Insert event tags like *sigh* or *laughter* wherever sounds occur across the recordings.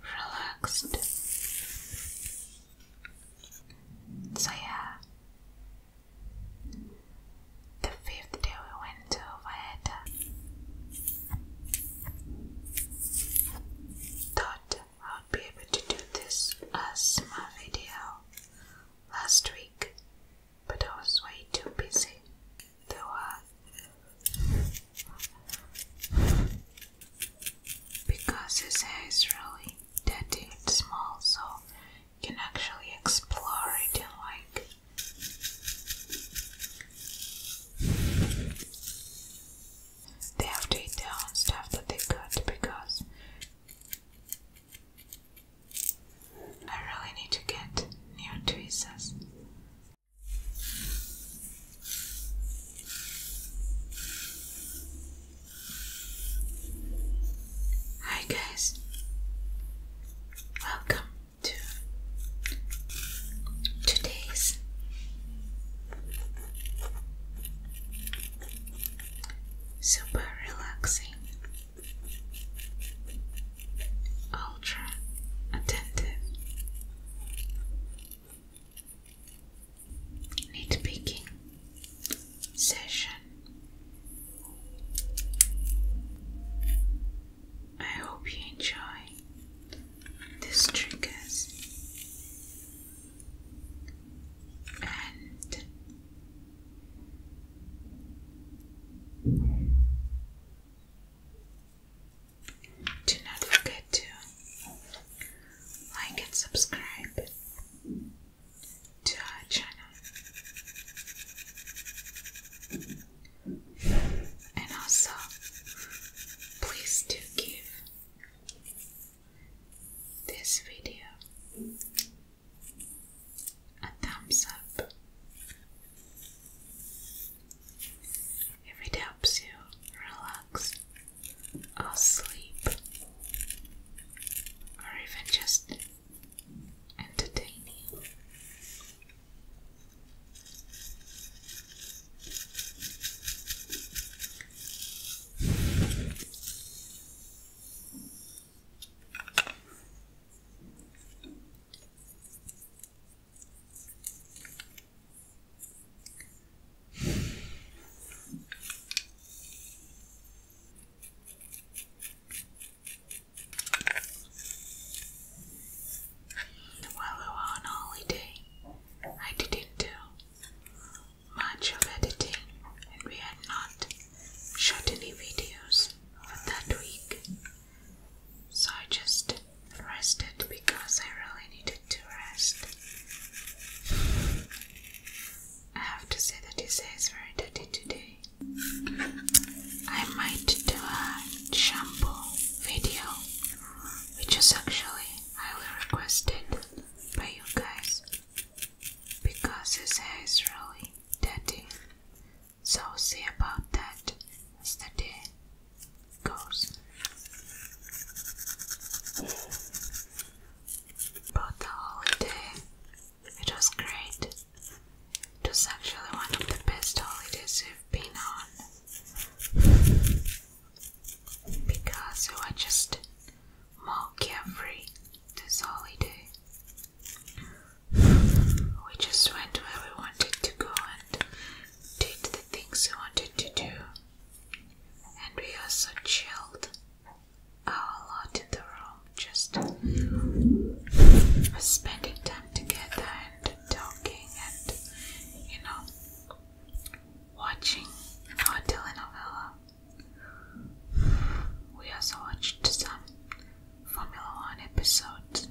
relaxed. So, yeah, the fifth day we went to Valletta. Thought I would be able to do this as my video last week, but I was way too busy. There uh, were because his hair is really tiny and small, so you can actually explore it and like. They have to eat their own stuff that they could because I really need to get new tweezers. Hi guys, welcome to today's super relaxing, ultra attentive nitpicking session. I hope you enjoy these triggers and do not forget to like and subscribe to our channel. And also, please do give this video a thumbs up if it helps you relax or sleep or even just entertain you. While on holiday, I didn't do much of editing, and we had not shot any videos for that week. So I just rested because I really needed to rest. I have to say that this hair is very dirty today. I might do a shampoo video, which is actually highly requested by you guys because his hair is really dirty. So, see about that as the goes. the holiday, it was great. It was actually one of the best holidays we've been on. Because we were just more carefree this holiday. We just went where we wanted to go and did the things we wanted to do, and we are so chilled our lot in room, just spending time together and talking and, you know, watching our telenovela. We also watched some Formula One episodes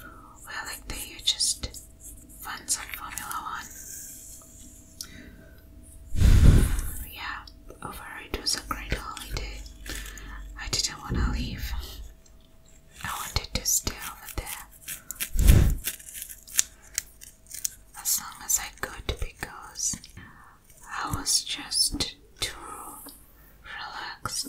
well, like the hugest fans of Formula One. Yeah, overall it was a great holiday. I didn't want to leave. I wanted to stay over there as long as I could because I was just too relaxed.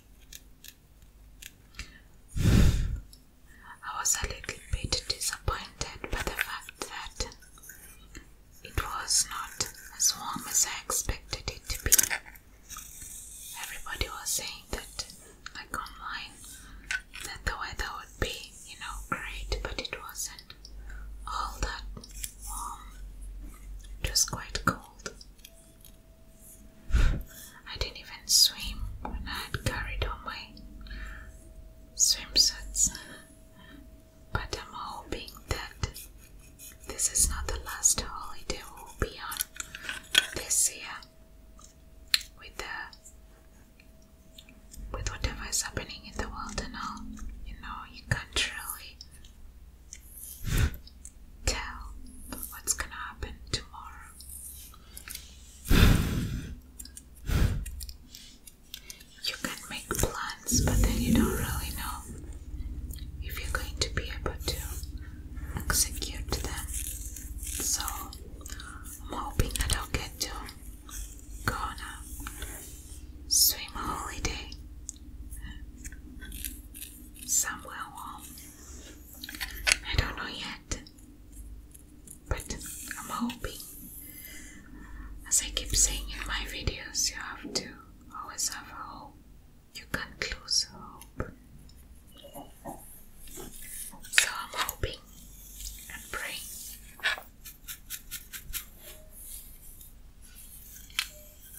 I was a little bit disappointed by the fact that it was not as warm as I expected it to be. Everybody was saying that, like online, that the weather would be, you know, great, but it wasn't all that warm. It was quite cold. *sighs* I didn't even swim when I had carried on my swimsuits. But I'm hoping that this is not the last holiday we'll be on this year with the with whatever is happening in the world and all. You know, you can't really tell what's gonna happen tomorrow. You can make plans, but then you don't really know if you're going to be able to execute them. So, I'm hoping that I'll get to go on a swim holiday somewhere warm. I don't know yet, but I'm hoping. As I keep saying in my videos, you have to always have a hope. You can't lose hope. So I'm hoping and praying.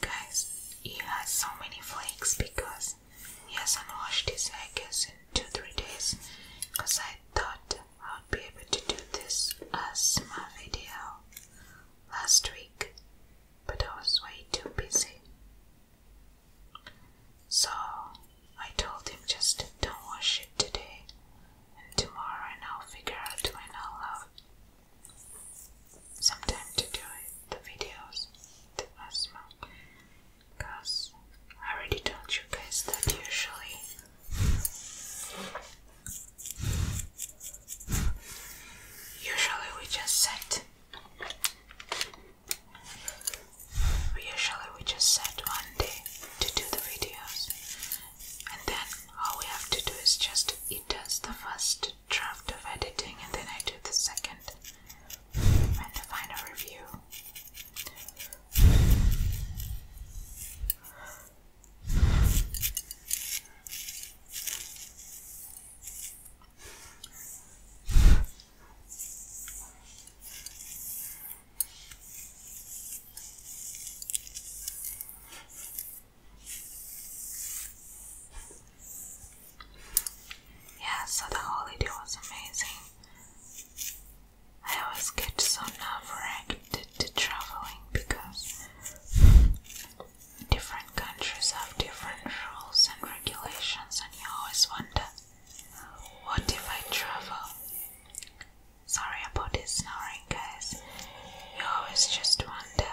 Guys, it has so many flakes because he hasn't washed his eggs in 2-3 days because I thought I would be able to do this as my video last week but I was way too busy. So I told him just don't wash it today and tomorrow I'll figure out when I'll some time to do the videos the last month because I already told you guys that usually usually we just set usually we just set one day to do the videos and then all we have to do is just it the first draft of editing and then I do the second and the final review. Yeah, so the holiday was amazing. I always get so nerve-wracked to traveling because different countries have different rules and regulations, and you always wonder, what if I travel? Sorry about this snoring, guys. You always just wonder,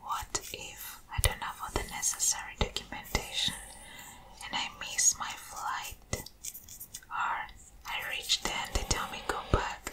what if I don't have all the necessary documentation and I miss my flight? Or I reach there and they tell me go back.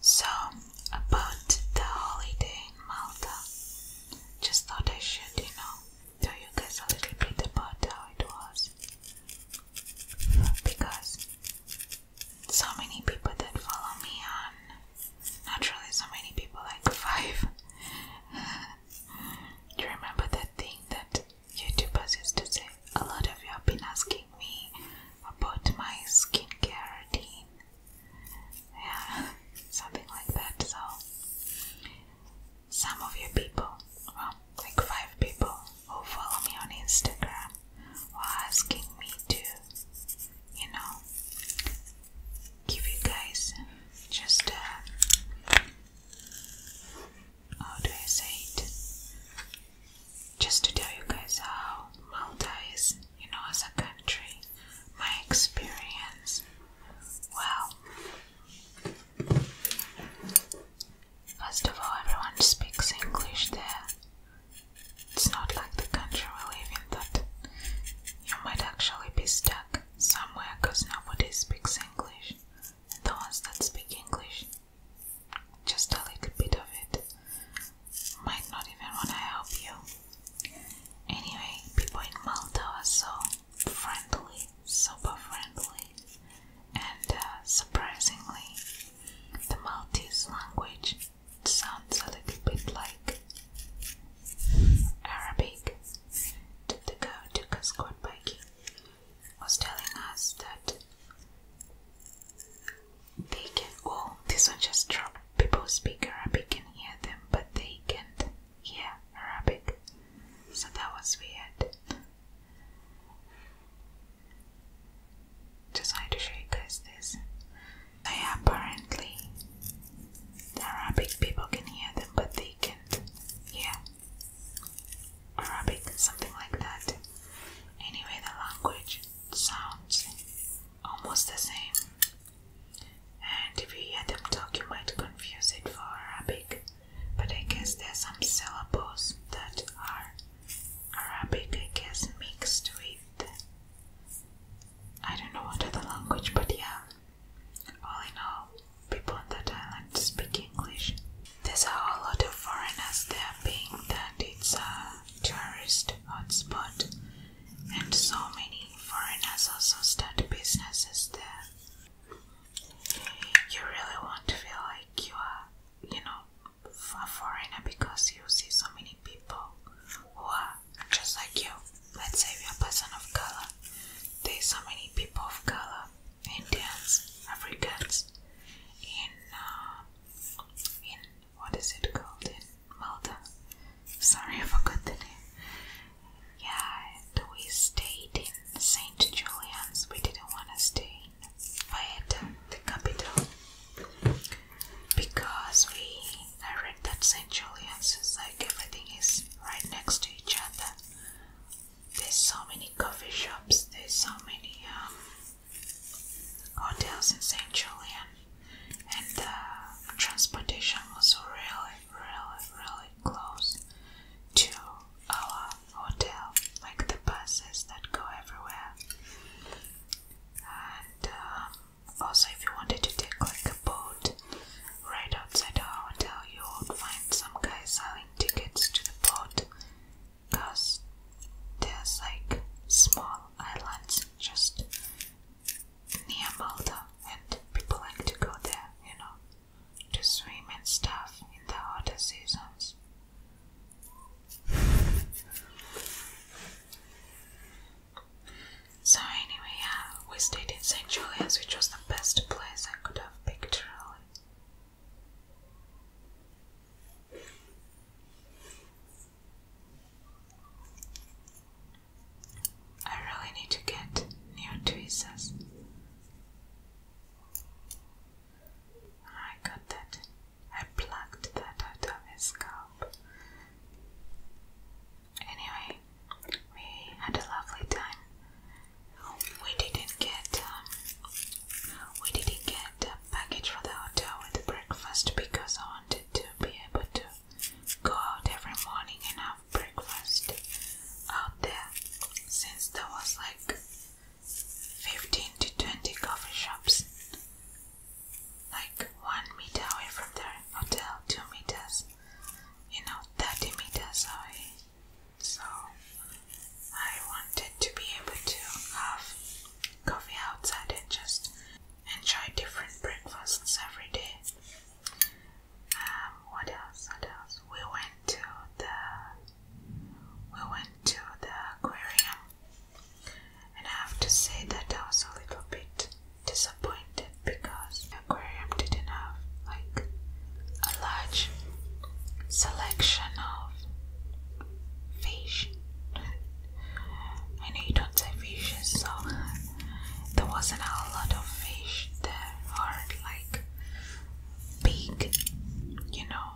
So, about the holiday in Malta, just thought I should, you know, tell you guys a little bit about how it was. Because so many people that follow me on, naturally, so many people, like five. Do *laughs* you remember that thing that YouTubers used to say? A lot of you have been asking me about my skincare routine. Yeah, *laughs* something like that. So, some of you people, like five people who follow me on Instagram, were asking me to, you know, give you guys just uh, how do I say it? just to tell you guys how Malta is, you know, as a country, my experience. Well, First of all, everyone speaks English there. It's not like the country we live in that you might actually be stuck somewhere because nobody speaks English. And the ones that speak English just a little bit of it might not even want to help you. Anyway, people in Malta are so friendly, super friendly, and uh, surprisingly, the Maltese language sounds a little bit like Arabic. The girl took us quad biking was telling us that they can oh this one just dropped people speak Arabic and hear them but they can't hear Arabic so that was weird just wanted to show you guys this so yeah, apparently the Arabic people can hear them but they can't hear Arabic something like that anyway the language sounds almost the same. And if you hear them talk, you might confuse it for Arabic. But I guess there's some syllables that are Arabic, I guess, mixed with I don't know what other language, but yeah. All in all, people in that island speak English. There's a whole lot of foreigners there being that it's a uh, tourist hotspot, and so many foreigners also start businesses there. You really want to feel like you are, you know, a foreigner because you see so many people who are just like you. Let's say you're a person of color. There's so many people of color, Indians, Africans, in uh, in what is it called in Malta? Sorry, I forgot the name. Yeah, we stayed in St. Julian's. We didn't want to stay in Valletta, the capital, because we I read that St. Julian's is like everything is right next to each other. There's so many coffee shops. There's so many um, hotels in St. Julian, and the uh, transportation was really, really, really close to our hotel, like the buses that go everywhere. And um, also, if you wanted to take like a boat right outside our hotel, you would find some guy selling tickets to the boat because there's like small islands just near Malta, and people like to go there, you know, to swim and stuff in the hotter seasons. So, anyway, yeah, we stayed in St. Julian's, which was the best place I could have picked, really. I really need to get new tweezers. I got that. I plucked that out of his scalp. Anyway, we had a lovely time. We didn't get um, we didn't get package for the hotel with breakfast because I wanted to be able to go out every morning and have breakfast out there since there was like 15 to 20 coffee shops like one meter away from the hotel, two meters, you know, 30 meters away. So I wanted to be able to have coffee outside and just enjoy different breakfasts every day. Um, what else? What else? We went to the we went to the aquarium, and I have to say that I was a little bit disappointed because aquarium didn't have like a large selection of fish. I know you don't say fishes, so there wasn't a lot of fish there, are like big, you know,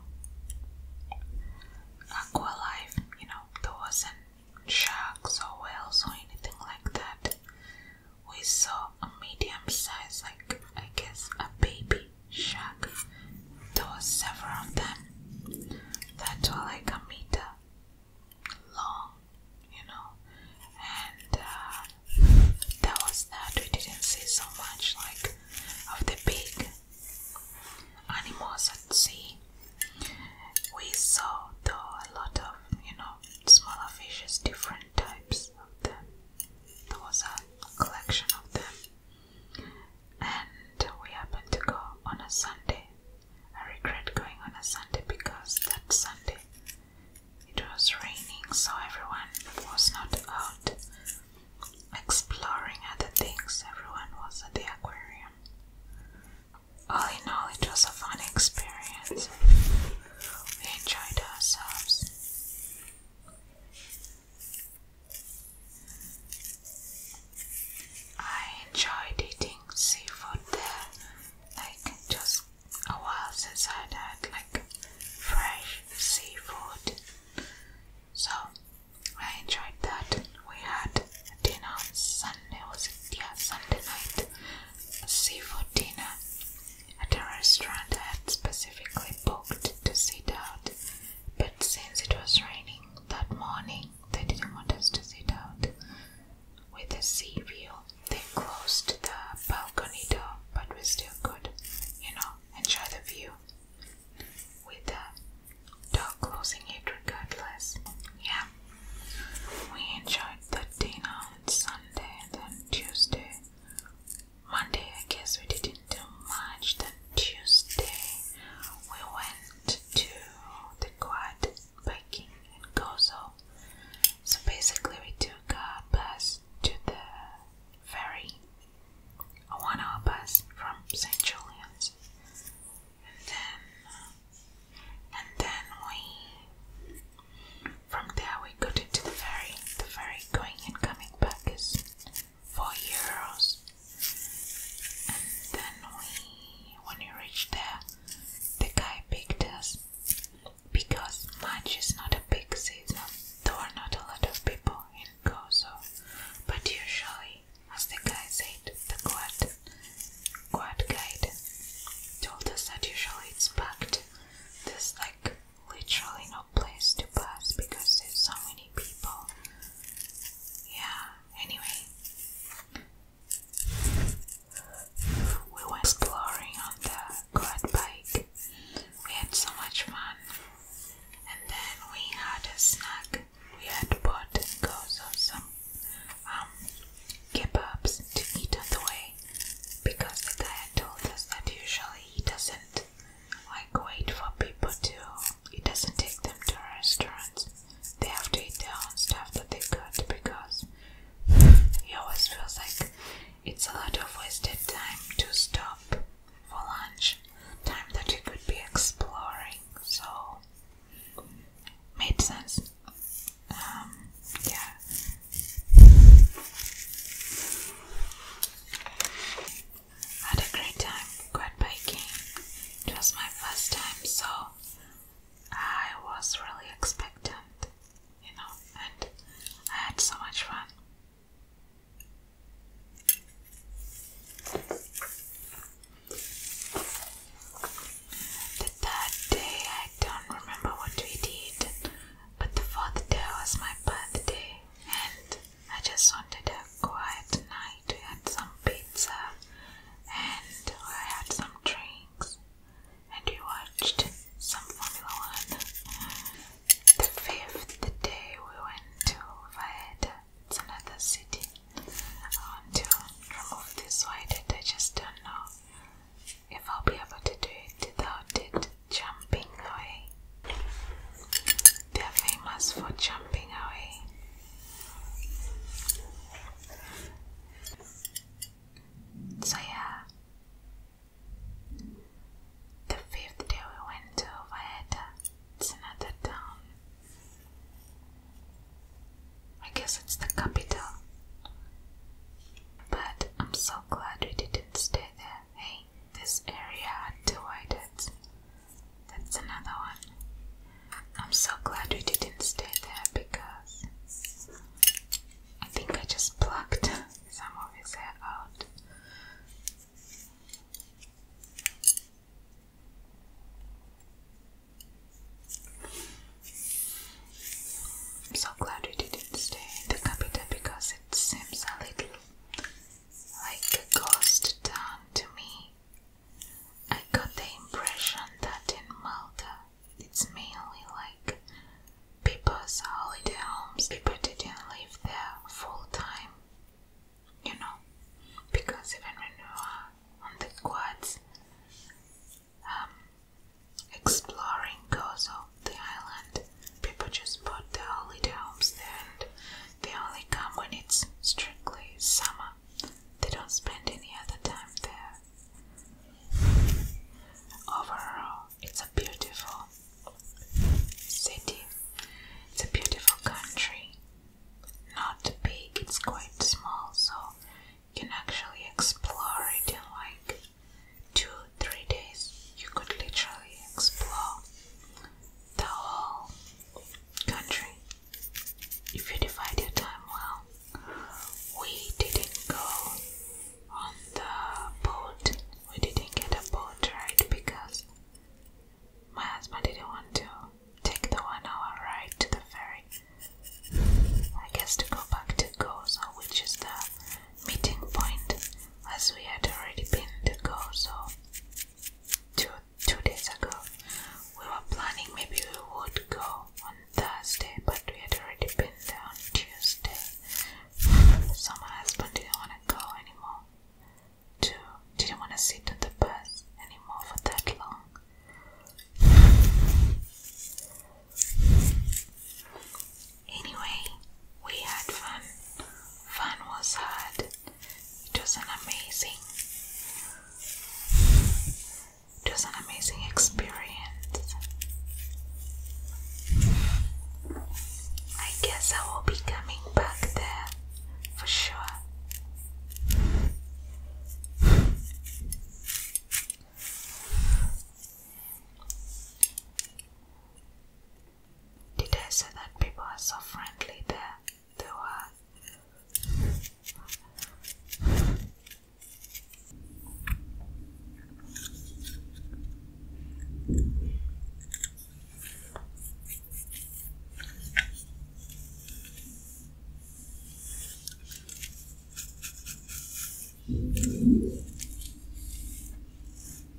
aqua life. You know, there wasn't sharks or whales or anything like that. We saw a medium size, like I guess a baby Shark. There were several of them that were like a meter long, you know, and uh, that was that we didn't see so much like of the big animals at sea. We saw though a lot of you know smaller fishes, different types of them. There was a collection of them and we happened to go on a Sunday. I regret going on a Sunday because that Sunday it was raining, so everyone was not out exploring other things, everyone was at the aquarium. All in all, it was a fun experience. We enjoyed ourselves. I enjoyed eating seafood there, like just a while since I'd had like fresh seafood. So I enjoyed that. We had dinner on Sunday, was it? Yeah, Sunday night. A seafood dinner at a restaurant I had specifically booked to sit out, but since it was raining, that morning they didn't want us to sit out with a sea view. They closed the balcony door, but we still could, you know, enjoy the view with the door closing it regardless. Yeah, we enjoyed the dinner on Sunday and then Tuesday. Monday, I guess we didn't March the Tuesday we went to the quad biking in Gozo. So basically we took a bus to the ferry, a one hour bus from St. Julian's. And then and then we from there we got into the ferry. The ferry going and coming back is 4 euros and then we when we reached there the guy picked us because March is not a big season there are not a lot of people in Kosovo but usually as the guy said the quad quad guide told us that usually it's packed there's like literally no place to pass because there's so many people yeah, anyway. We were exploring on the quad bike. We had so much fun. And then we had a snack. We had bought goes of some um, kebabs to eat on the way because the guy told us that usually he doesn't like wait for people to it doesn't take them to restaurants. They have to eat their own stuff that they got because it always feels like it's a lot of wasted time to stop for lunch. Time that you could be exploring. So made sense. Um, yeah had a great time quad biking. It was my first time, so I was really expectant, you know, and I had so much fun. The third day, I don't remember what we did, but the fourth day was my birthday, and I just wanted a quiet night. to eat some pizza and I had some drinks and we watched some Formula One. The fifth the day we went to Vaeta, it's another city. I want to remove this white I just don't know if I'll be able to do it without it jumping away. They are famous for jumping away. So, yeah, the fifth day we went to Valletta, it's another town. I guess it's the capital. But I'm so glad we didn't stay there. Hey, this area had divided. That's another one. I'm so glad we didn't stay there because I think I just plucked *laughs* some of his hair out. I'm so glad we didn't stay in the capital because it seems a little like a ghost town to me. I got the impression that in Malta it's mainly like people's holiday homes. People didn't live there full time, you know, because even when we were on the quads, um, exploring Gozo, the island, people just put their holiday homes there they only come when it's strictly summer. They don't spend any other time there. Overall, it's a beautiful city. It's a beautiful country. Not big, it's quite small, so you can actually explore it in like two, three days. You could literally explore the whole country. If you divide your time well, we didn't go on the boat. We didn't get a boat ride because my husband didn't want to take the one hour ride to the ferry. I guess to go back to Gozo, which is the meeting point, as we had already been to Gozo two two days ago. We were planning maybe we would go on Thursday, but we had already been there on Tuesday. So my husband didn't want to go anymore. To didn't want to sit on the bus anymore for that long. Anyway, we had fun. Fun was hard. It was an amazing, it was an amazing experience. I guess I will be coming back there for sure. Did I say that people are so friendly there? They were.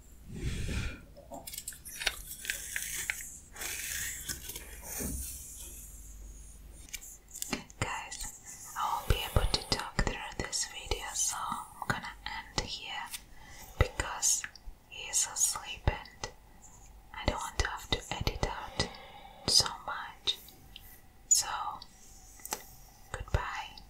Guys, I won't be able to talk through this video, so I'm gonna end here because he's asleep and I don't want to have to edit out so much. So, goodbye.